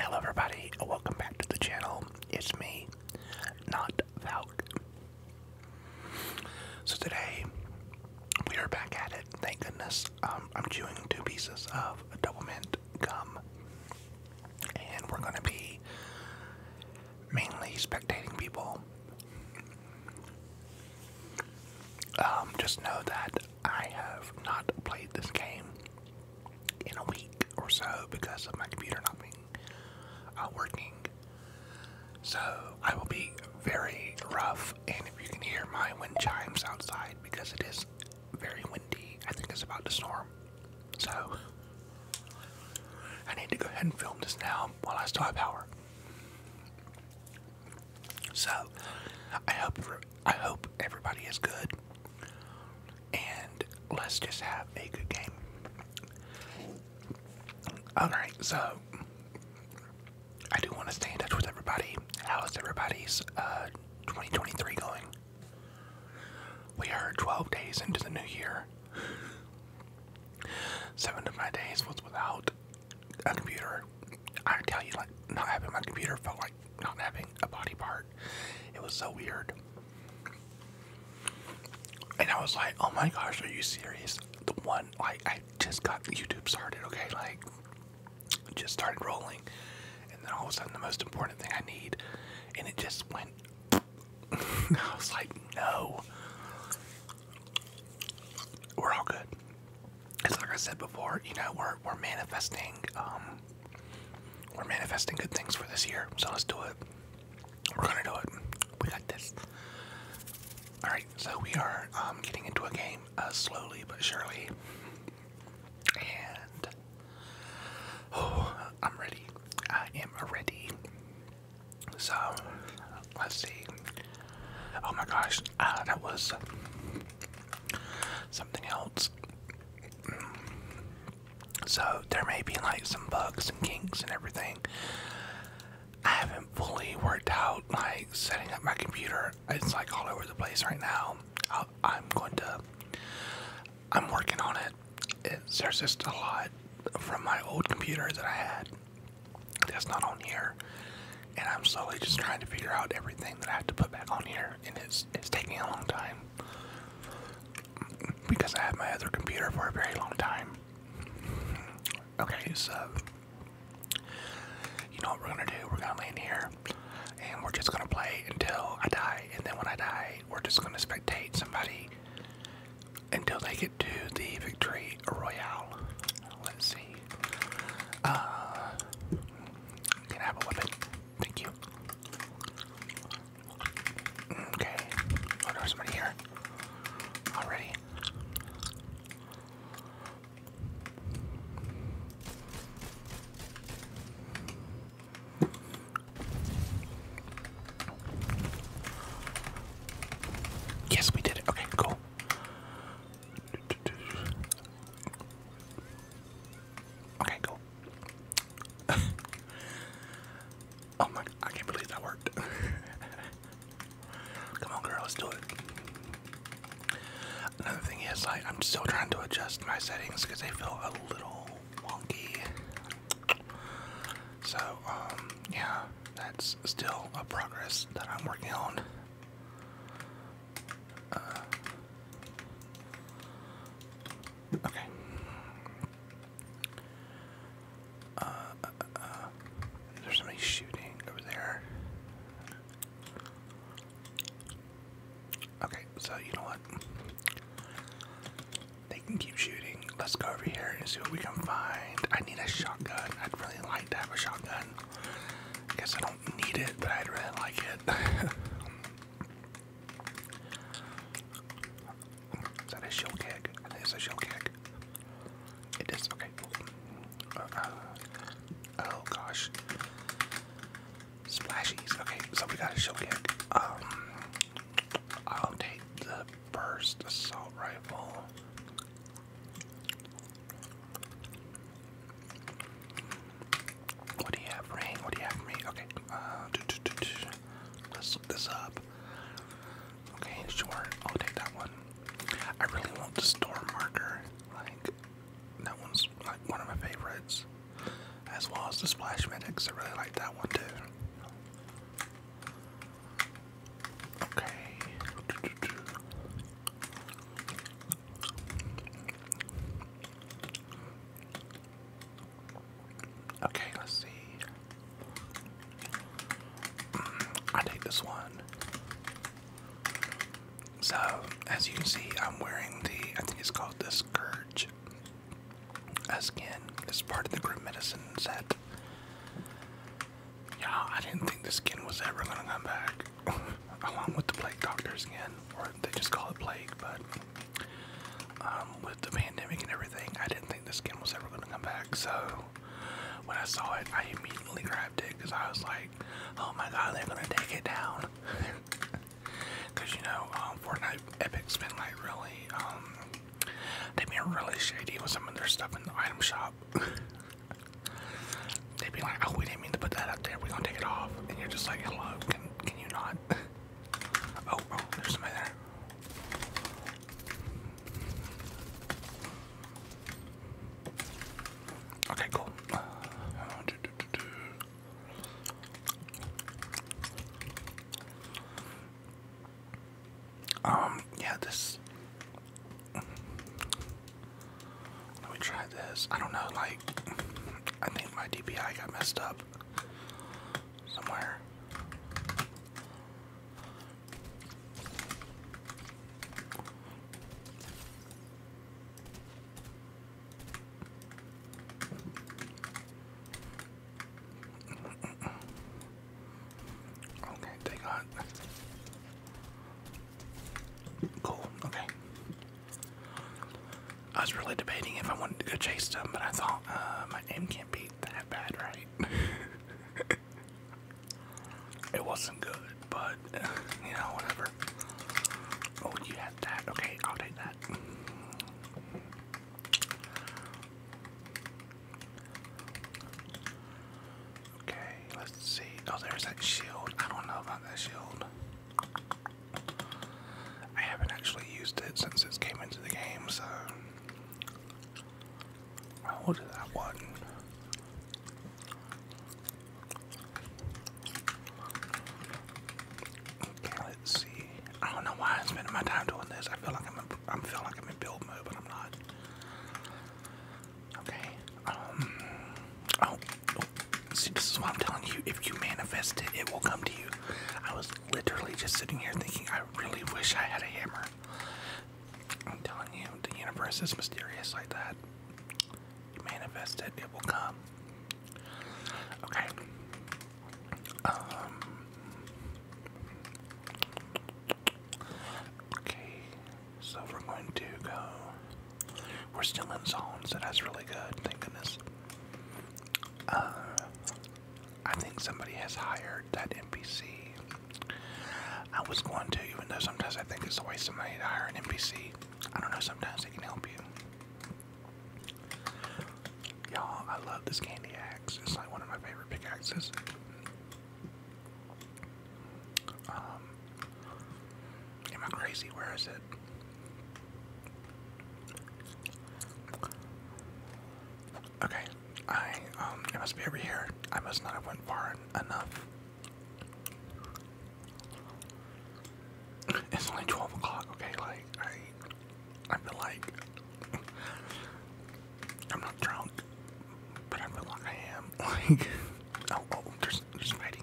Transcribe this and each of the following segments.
Hello everybody, welcome back to the channel. It's me, not Valk. So today, we are back at it, thank goodness. Um, I'm chewing two pieces of double mint gum. And we're gonna be mainly spectating people. Um, just know that I have not played this game in a week or so because of my computer not being uh, working. So I will be very rough, and if you can hear my wind chimes outside because it is very windy, I think it's about to storm. So I need to go ahead and film this now while I still have power. So I hope I hope everybody is good, and let's just have a good game. All right, so I do want to stay in touch with everybody. How is everybody's uh, 2023 going? We are 12 days into the new year. Seven of my days was without a computer. I tell you, like, not having my computer felt like not having a body part. It was so weird. And I was like, oh my gosh, are you serious? The one, like, I just got YouTube started, okay? Like, just started rolling. And then all of a sudden, the most important thing I need, and it just went. I was like, no. We're all good it's like I said before, you know, we're we're manifesting um, we're manifesting good things for this year. So let's do it. We're gonna do it. We got this. Alright, so we are um, getting into a game uh, slowly but surely. And oh, I'm ready. I am ready. So let's see. Oh my gosh, uh, that was something else. So there may be like some bugs and kinks and everything. I haven't fully worked out like setting up my computer. It's like all over the place right now. i am going to. I'm working on it. It's, there's just a lot from my old computer that I had that's not on here. And I'm slowly just trying to figure out everything that I have to put back on here, and it's it's taking a long time because I have my other computer for a very long time. Okay, so you know what we're gonna do? We're gonna lay in here, and we're just gonna play until I die, and then when I die, we're just gonna spectate somebody until they get to the victory Battle Royale. Let's see. Uh, can have a weapon? Thank you. Okay. Oh, there's somebody here already. Yes, we did it. Okay, cool. Okay, cool. oh my, I can't believe that worked. Come on, girl, let's do it. Another thing is, I'm still trying to adjust my settings because they feel a little wonky. So, um, yeah, that's still a progress that I'm working on. Uh, okay. Uh uh, uh, uh, there's somebody shooting over there. Okay, so you know what? They can keep shooting. Let's go over here and see what we can find. I need a shotgun. I'd really like to have a shotgun. I guess I don't need it, but I'd really like it. Is that a shell kick? it's a shell kick. It is, okay. Uh, oh gosh. Splashies. Okay, somebody got a shell kick. Um, I'll take the burst assault rifle. What do you have, Rain? What do you have for me? Okay, uh, let's look this up. Okay, sure, I'll take that one. I really want the storm marker. Like, that one's like one of my favorites. As well as the splash medics. I really like that one too. Okay. Okay, let's see. Mm, I take this one. So, as you can see, I'm wearing the, I think it's called the Scourge skin. It's part of the Grim Medicine set. Yeah, I didn't think the skin was ever gonna come back. Along with the plague doctor's skin, or they just call it plague, but um, with the pandemic and everything, I didn't think the skin was ever gonna come back. So when I saw it, I immediately grabbed it because I was like, "Oh my god, they're gonna take it down!" Because you know, um, Fortnite Epic's been like really, um, been really shady with some of their stuff in the item shop. They'd be like, oh, we didn't mean to put that up there. We're gonna take it off. And you're just like, hello, can, can you not? oh, oh, there's somebody there. Okay, cool. Um, yeah, this let me try this. I don't know, like, I think my DPI got messed up somewhere. Okay, they got cool. Okay, I was really debating if I wanted to go chase them, but I thought uh, my aim can't be that bad, right? it wasn't good, but you know, whatever. Oh, you had that. Okay, I'll take that. Okay, let's see. Oh, there's that shield. I don't know about that shield. I haven't actually used it since it came into the game, so. i that one. Okay, let's see. I don't know why I'm spending my time doing this. I feel like I'm in, I feel like I'm in build mode, but I'm not. Okay. Um, oh, oh, See, this is what I'm telling you. If you manifest it, it will come to you. I was literally just sitting here thinking, I really wish I had a hammer. I'm telling you, the universe is mysterious like that. You manifest it, it will come. Okay. Um, Okay, so we're going to go. We're still in zones, so that's really good, thank goodness. Uh, I think somebody has hired that NPC. I was going to, even though sometimes I think it's a waste of money to hire an NPC. I don't know, sometimes they can help you. Y'all, I love this candy axe. It's like one of my favorite pickaxes. Um, am I crazy? Where is it? Okay, I um, it must be over here. I must not have went far enough. It's only twelve o'clock. Okay, like I, I feel like I'm not drunk, but I feel like I am. Like, oh, oh, there's, there's fighting.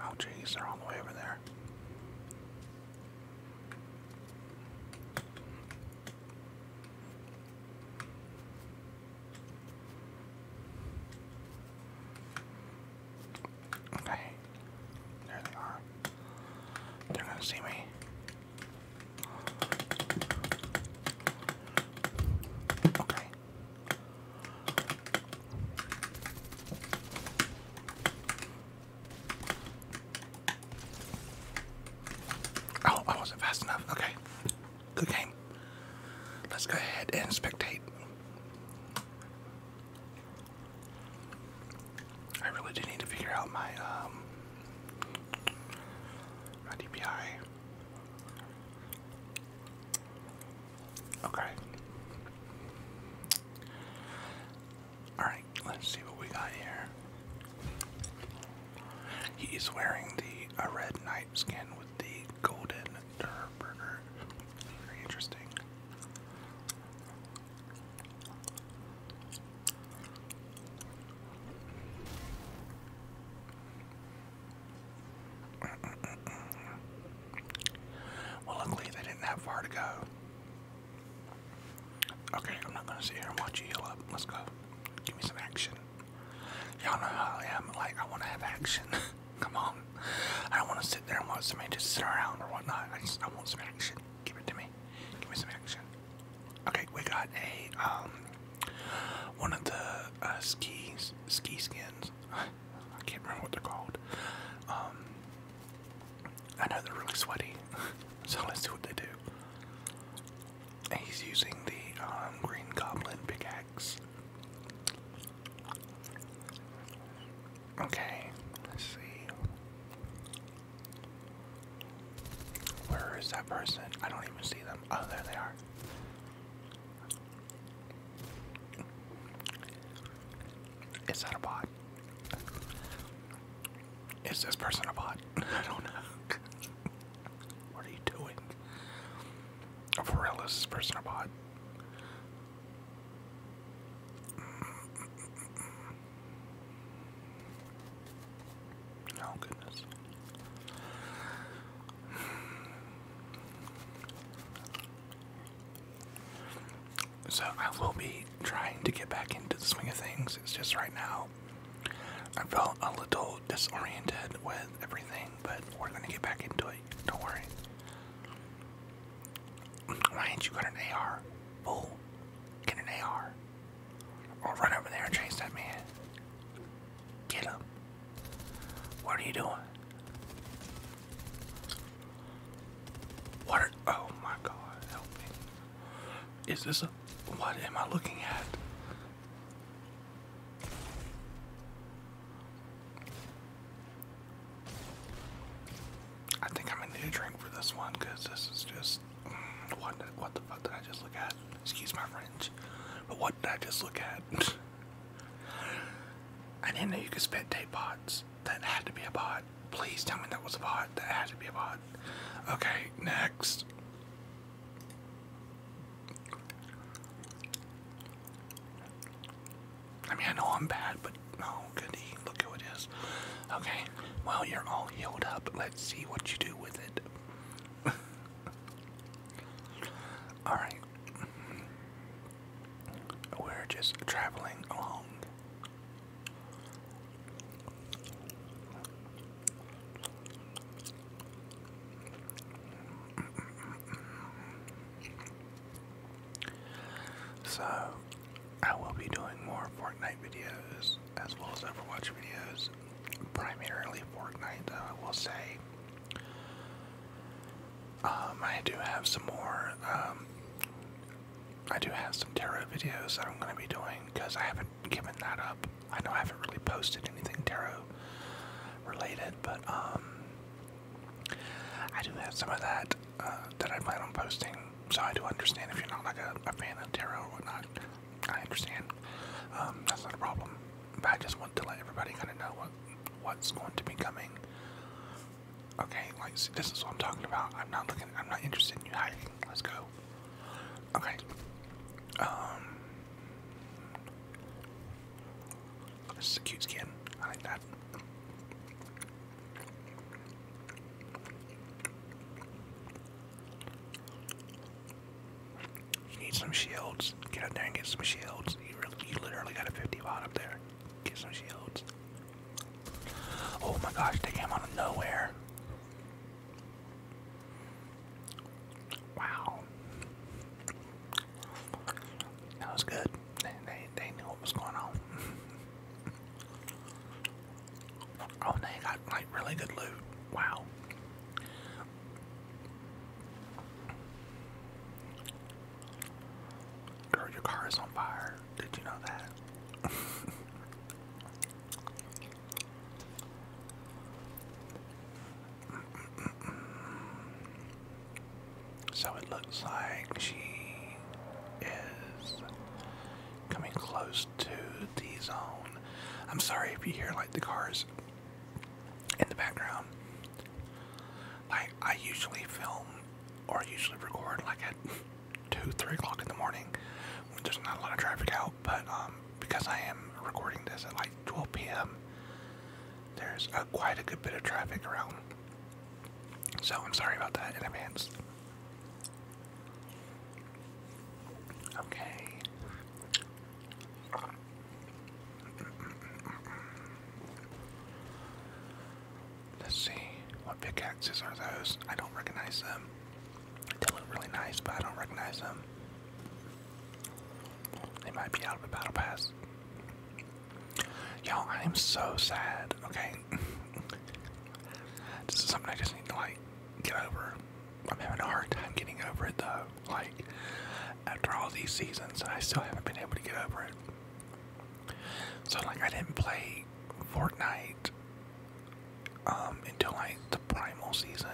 Oh, jeez, they're all the way over there. Okay. There they are. They're gonna see me. Okay. Oh, I wasn't fast enough. Okay. Good game. Let's go ahead and spectate. I really do need to figure out my um, my DPI. Okay. Alright, let's see what we got here. He's wearing the a red night skin with the golden very interesting. Well, luckily they didn't have far to go. Okay, I'm not gonna sit here and watch you heal up. Let's go. Give me some action. Y'all know how I am. Like I want to have action. Come on. I don't want to sit there and watch somebody just sit around or whatnot. I just I want some action. Give it to me. Give me some action. Okay, we got a um one of the uh, skis ski skins. I can't remember what they're called. Um, I know they're really sweaty, so let's see what they do. he's using the um, Green Goblin pickaxe. Okay, let's see. Where is that person? I don't even see them. Oh, there they are. Is that a bot? Is this person a bot? I don't know. what are you doing? For real, is this person a bot? Oh, goodness. So, I will be trying to get back into the swing of things. It's just right now I felt a little disoriented with everything, but we're going to get back into it. Don't worry. Why ain't you got an AR? Fool. Get an AR. Or run over there and chase that man. Get him. What are you doing? What oh my god, help me. Is this a, what am I looking at? I think I'm gonna need a drink for this one because this is just mm, what what the fuck did I just look at? Excuse my French, but what did I just look at? I didn't know you could spit tape pots. That had to be a pot. Please tell me that was a pod. That had to be a pod. Okay, next. I mean, I know I'm bad, but oh, goody, look who it is. Okay, well, you're all healed up. Let's see what you do with it. Alright. We're just traveling along. So, I will be doing more Fortnite videos as well as Overwatch videos, primarily Fortnite, though, I will say. Um, I do have some more, um, I do have some tarot videos that I'm going to be doing because I haven't given that up. I know I haven't really posted anything tarot related, but, um, I do have some of that uh, that I plan on posting, so I do understand if you're not like a, a fan of tarot or whatnot. I understand. Um, that's not a problem. But I just want to let everybody kind of know what what's going to be coming. Okay, like this is what I'm talking about. I'm not looking. I'm not interested in you hiding. Let's go. Okay. Um. This is a cute skin. I like that. You need some shields. Get out there and get some shields. You, literally got a 50 bot up there. Get some shields. Oh my gosh, they came out of nowhere. Wow. That was good. They, they, they knew what was going on. oh, they got like really good loot. Wow. Girl, your car is on fire. Did you know that? So it looks like she is coming close to the zone. I'm sorry if you hear like the cars in the background. Like I usually film or usually record like at two, three o'clock in the morning when there's not a lot of traffic out, but um, because I am recording this at like 12 p.m there's a, quite a good bit of traffic around. So I'm sorry about that in advance. Okay. Let's see. What pickaxes are those? I don't recognize them. They look really nice, but I don't recognize them. They might be out of the battle pass. Y'all, I am so sad, okay? this is something I just need to, like, get over. I'm having a hard time getting over it, though. Like, after all these seasons, and I still haven't been able to get over it. So, like, I didn't play Fortnite um, until, like, the Primal season.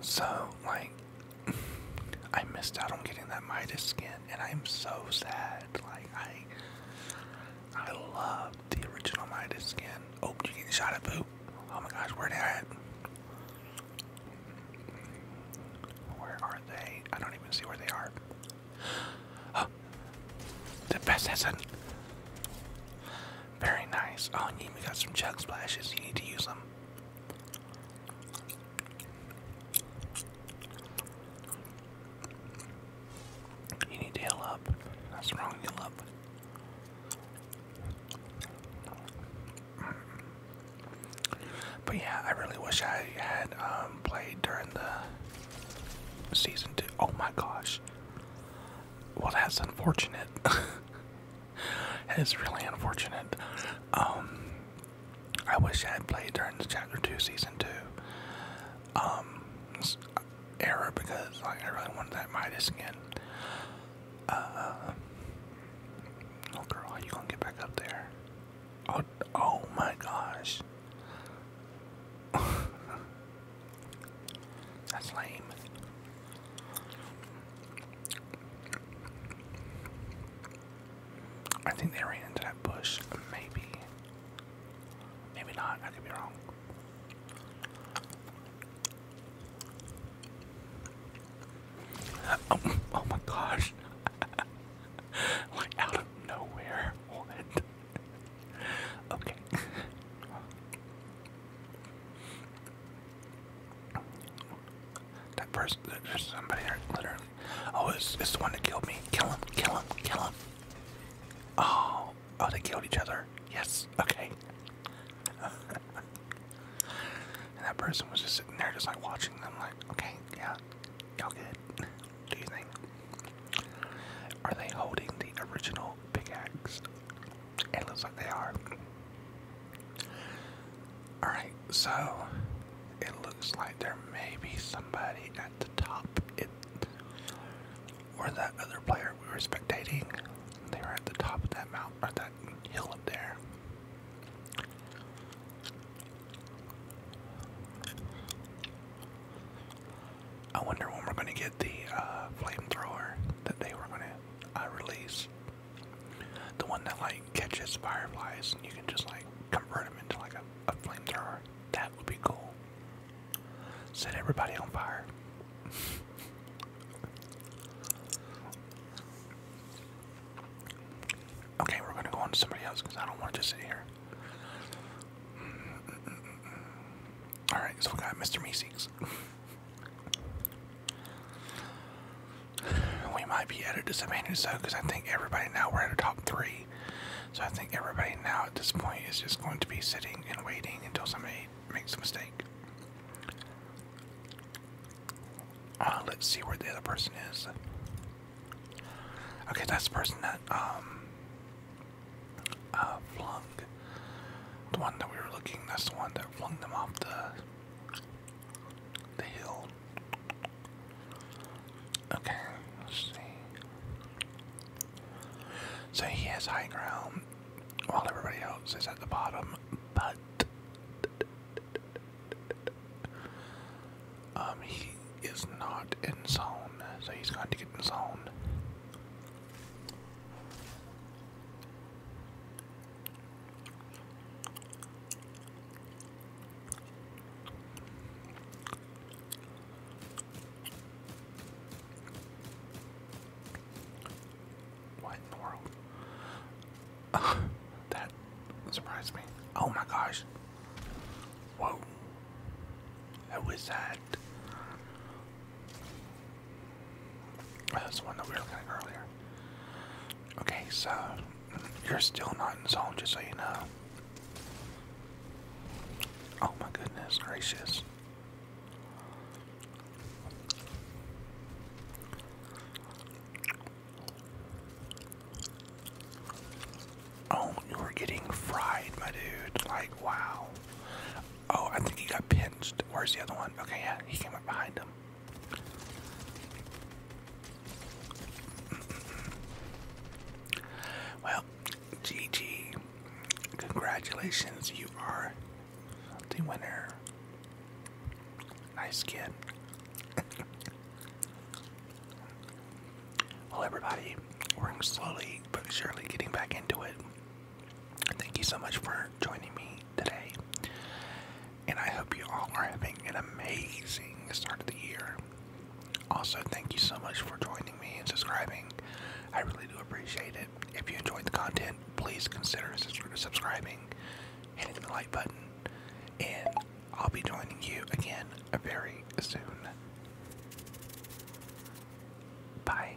So, like, I missed out on getting that Midas skin, and I'm so sad. Like I, I love the original Midas skin. Oh, you getting shot at, Oh my gosh, where are they at? Where are they? I don't even see where they are. Oh, the best hasn't. Very nice. Oh, and you got some chug splashes. You need to use them. You need to heal up. That's wrong, heal up. But yeah, I really wish I had um, played during the season two. Oh my gosh. Well, that's unfortunate. It is really unfortunate. Um, I wish I had played during the Chapter 2, Season 2 um, era because I really wanted that Midas skin. Uh, oh, girl, how you gonna get back up there? oh, oh my gosh. That's lame. I think they ran into that bush. Maybe. Maybe not. I could be wrong. Oh, oh, my gosh. like out of nowhere. What? okay. That person, there's somebody there, Oh, it's, it's the one that killed me. Kill him, kill him, kill him. Oh, oh, they killed each other. Yes, okay. and that person was just sitting there, just like watching them, like, okay, yeah, y'all good. Do you think? Are they holding the original pickaxe? It looks like they are. Alright, so it looks like there may be somebody at the top. or that other player we were spectating. They were at the top of that mountain that hill up there. I wonder when we're gonna get the uh, flamethrower that they were gonna uh, release. The one that like catches fireflies and you can just like convert them into like a, a flamethrower. That would be cool. Set everybody on fire. okay, we're gonna go on to somebody else because I don't want to just sit here. All right, so we got Mr. Meeseeks. We might be at a disadvantage though, because I think everybody now we're at a top three. So I think everybody now at this point is just going to be sitting and waiting until somebody makes a mistake. Uh, let's see where the other person is. Okay, that's the person that um uh, flung the one that we were looking. That's the one that flung them off the the hill. Okay, see. So he has high ground while everybody else is at the bottom, but um, he is not in zone, so he's going to get in zone. What in that surprised me. Oh my gosh. Whoa. That that. Uh, that's the one that we were looking at earlier. Okay, so you're still not in zone, just so you know. Oh my goodness gracious. Oh, you were getting fried, my dude. Like, wow. Oh, I think he got pinched. Where's the other one? Okay, yeah, he came up behind him. Well, GG. Congratulations, you are the winner. Nice kid. well, everybody, we're slowly but surely getting back into it. Thank you so much for joining me today. And I hope you all are having an amazing start of the year. Also, thank you so much for joining me and subscribing. I really do appreciate it. If you enjoyed the content, please consider subscribing, hitting the like button, and I'll be joining you again very soon. Bye.